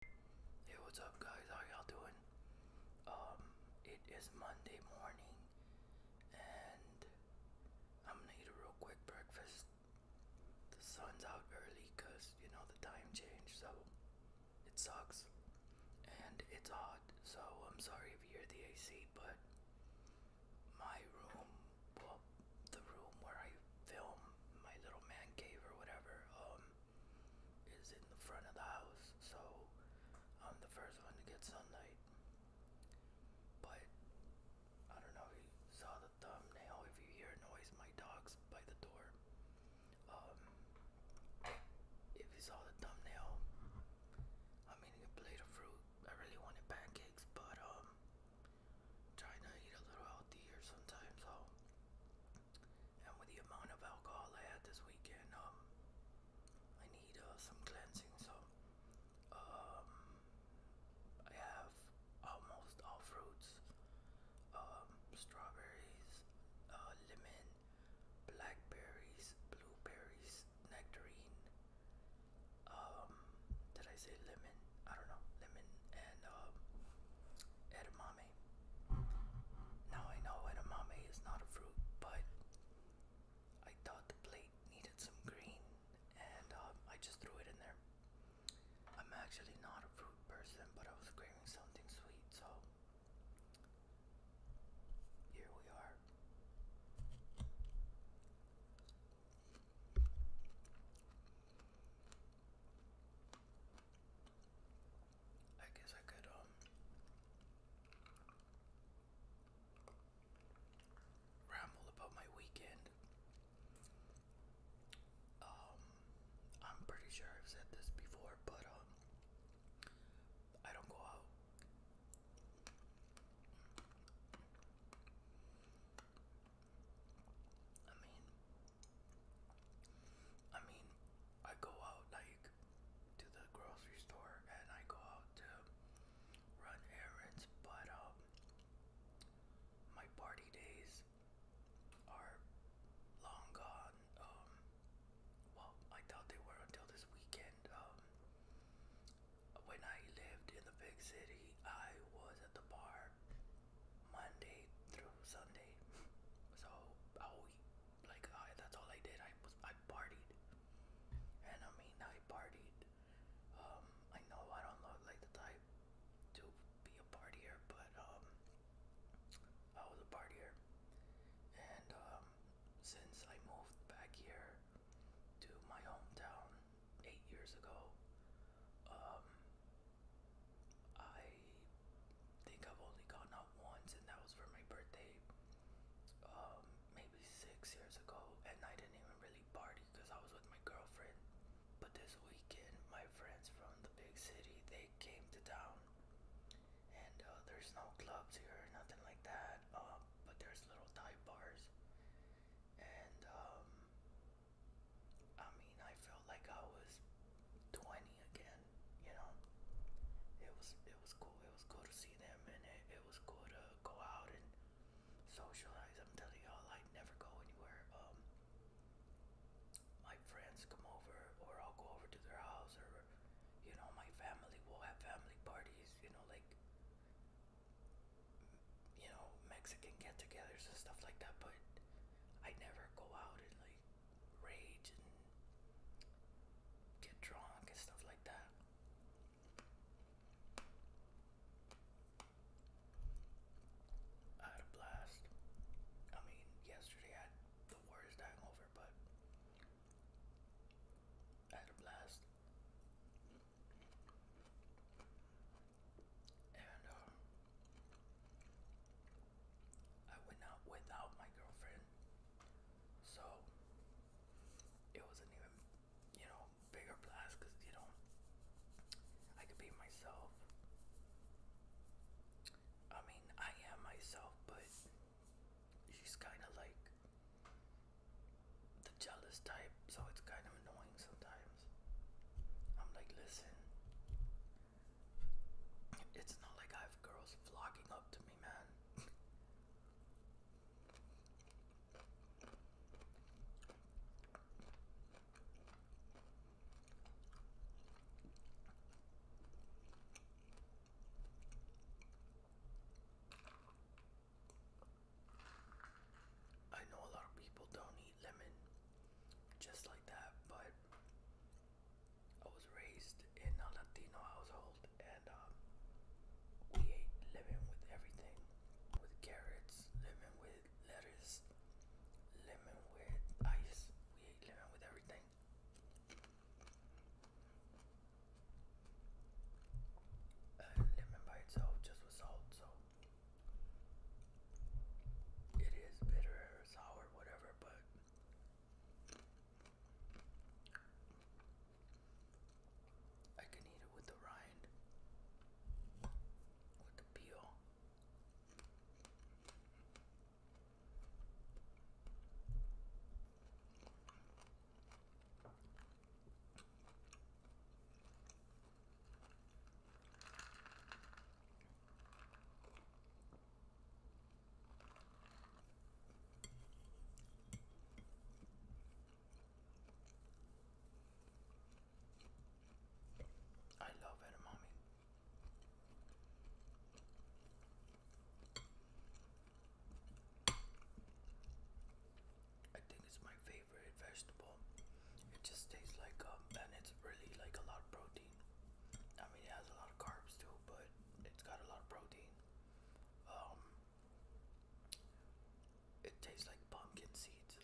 Hey, what's up, guys? How y'all doing? Um, it is Monday morning, and I'm gonna eat a real quick breakfast. The sun's out early because you know the time change, so it sucks, and it's hot. So I'm sorry if you hear the AC, but my room, well, the room where I film my little man cave or whatever, um, is in the front of the house, so I'm the first one to get sunlight. But I don't know, you saw the thumbnail. If you hear noise, my dog's by the door. Um, if you saw the thumbnail, I'm eating a plate of fruit. I really wanted pancakes, but um, trying to eat a little healthier sometimes. So and with the amount of alcohol I had this weekend, um, I need uh, some cleansing. So, um, I have almost all fruits, um, strawberries, uh, lemon, blackberries, blueberries, nectarine. Um, did I say lemon? I don't know. Lemon and um, edamame. Now I know edamame is not a fruit, but I thought the plate needed some green and um, I just threw it in there. I'm actually not a fruit person, but I was craving something sweet, so here we are. I guess I could, um, ramble about my weekend. Um, I'm pretty sure I've said this before, but, um, I don't go out. I mean, I mean, I go out like to the grocery store and I go out to run errands, but um, my party days are long gone. Um, well, I thought they were until this weekend. Um, when I lived in the big city, I was at the bar Monday through Sunday. So I like I, that's all I did. I was I partied, and I mean I partied. Um, I know I don't look like the type to be a partier, but um, I was a partier, and um, since I moved back here to my hometown eight years ago, um, I think I've only gone out once, and that was for my birthday, um, maybe six years ago. And I didn't even really party because I was with my girlfriend. But this weekend, my friends from the big city they came to town, and uh, there's no clubs here, nothing like that. Uh, but there's little dive bars, and um, I mean, I felt feel like I was 20 again, you know. It was it was cool. It was cool to see them and it, it was cool to go out and socialize. I'm telling y'all I never go anywhere. Um my friends come over or I'll go over to their house or you know, my family will have family parties, you know, like you know, Mexican get togethers and stuff like that, but I never go out and like rage and get drunk and stuff like that. I had a blast. I mean, yesterday I had the worst hangover, but I had a blast. And uh, I went out without my girlfriend, so it wasn't even, you know, bigger blast because you know I could be myself. I mean, I am myself, but she's kind of like the jealous type, so it's kind of annoying sometimes. I'm like, listen, it's not like I have girls flocking up to me, man. I know a lot of people don't eat lemon just like that, but I was raised in a Latino household, and um, we ate lemon with everything, with carrots, lemon with lettuce, lemon with ice. We ate lemon with everything. And lemon by itself, just with salt, so it is bitter, sour, whatever, but I can eat it with the rind, with the peel. I love edamame. I think it's my favorite vegetable. It just tastes like um, and it's really like a lot of protein. I mean, it has a lot of carbs too, but it's got a lot of protein. Um, it tastes like pumpkin seeds.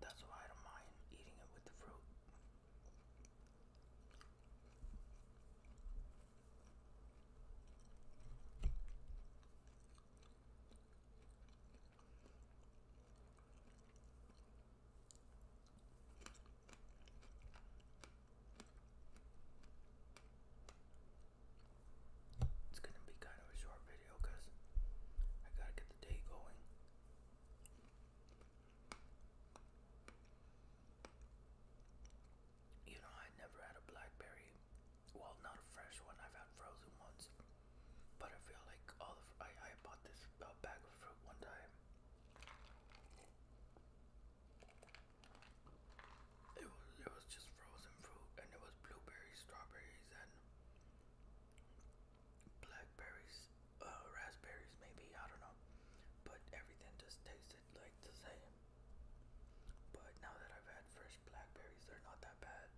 That's why I don't mind eating it with the fruit. It's gonna be kind of a short video because I gotta get the day going. You know, I never had a blackberry. Well, not a fresh one, I've had frozen ones. But I feel like all I I bought this uh, bag of fruit one time. It was it was just frozen fruit, and it was blueberries, strawberries, and blackberries, uh, raspberries, maybe I don't know. But everything just tasted like the same. But now that I've had fresh blackberries, they're not that bad.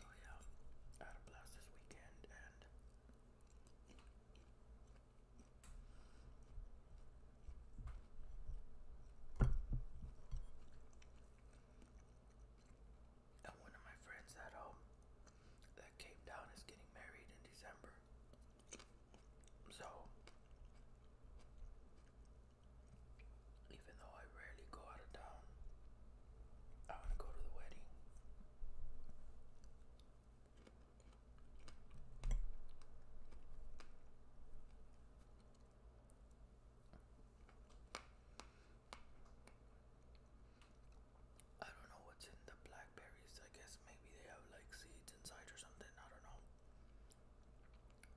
So yeah, had a blast this weekend and and one of my friends at home that came down is getting married in December. So, even though I rarely go out of town, I want to go to the wedding. I don't know what's in the blackberries. I guess maybe they have like seeds inside or something. I don't know.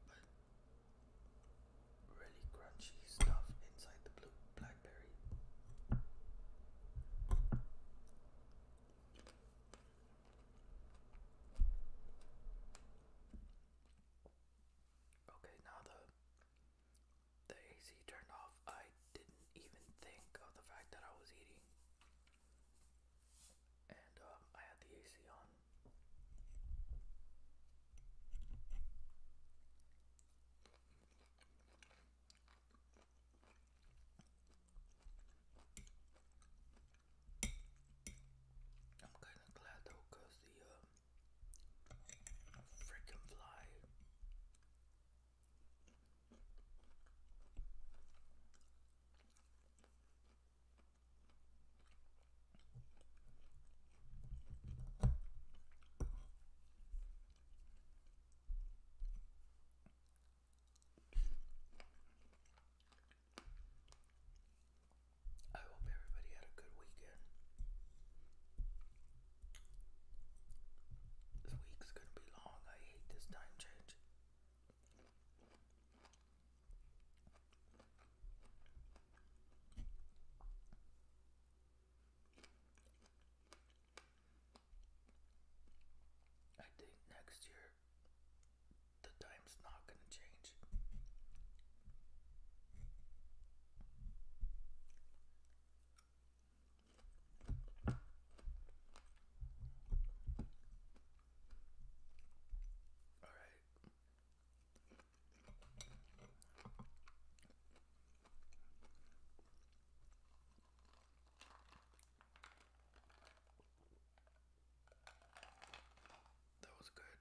But really crunchy stuff inside blackberry. Okay, now the the AC turned off. I didn't even think of the fact that I was eating. And um, I had the AC on. I'm kind of glad though, the uh, freaking fly I hope everybody had a good weekend. This week's gonna be long. I hate this time change. I think next year the time's not going to change. All right. That was good.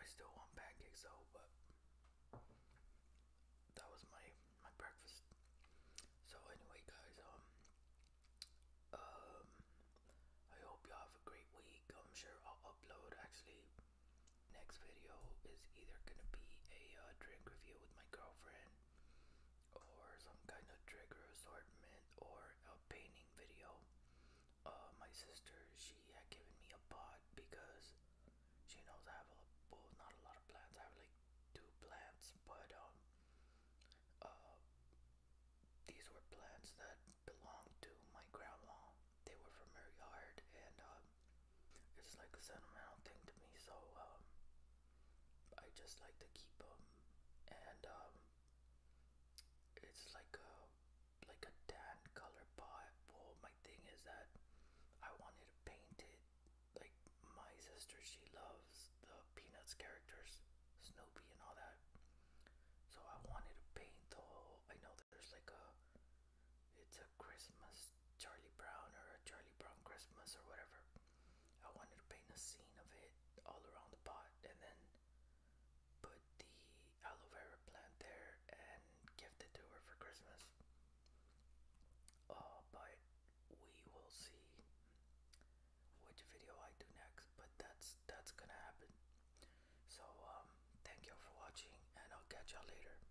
I still want pancakes though, but that was my my breakfast. So anyway, guys, um, um, I hope y'all have a great week. I'm sure I'll upload actually next video is either gonna be a uh, drink review with my girlfriend or some kind of trigger assortment or a painting video. Uh, my sister, she had given me a pot because she knows I have a not a lot of plants. I have like two plants, but um, uh, these were plants that belonged to my grandma. They were from her yard, and um, it's like a sentimental thing to me so um, I just like to keep them and um, it's like a like a tan color pot well my thing is that I wanted to paint it like my sister she loves the Peanuts characters Snoopy and all that so I wanted to paint the whole I know there's like a it's a Christmas Charlie Brown or a Charlie Brown Christmas or whatever. I wanted to paint a scene of it all around the pot and then put the aloe vera plant there and gift it to her for Christmas. Uh, but we will see which video I do next, but that's that's gonna happen. So um, thank y'all for watching, and I'll catch y'all later.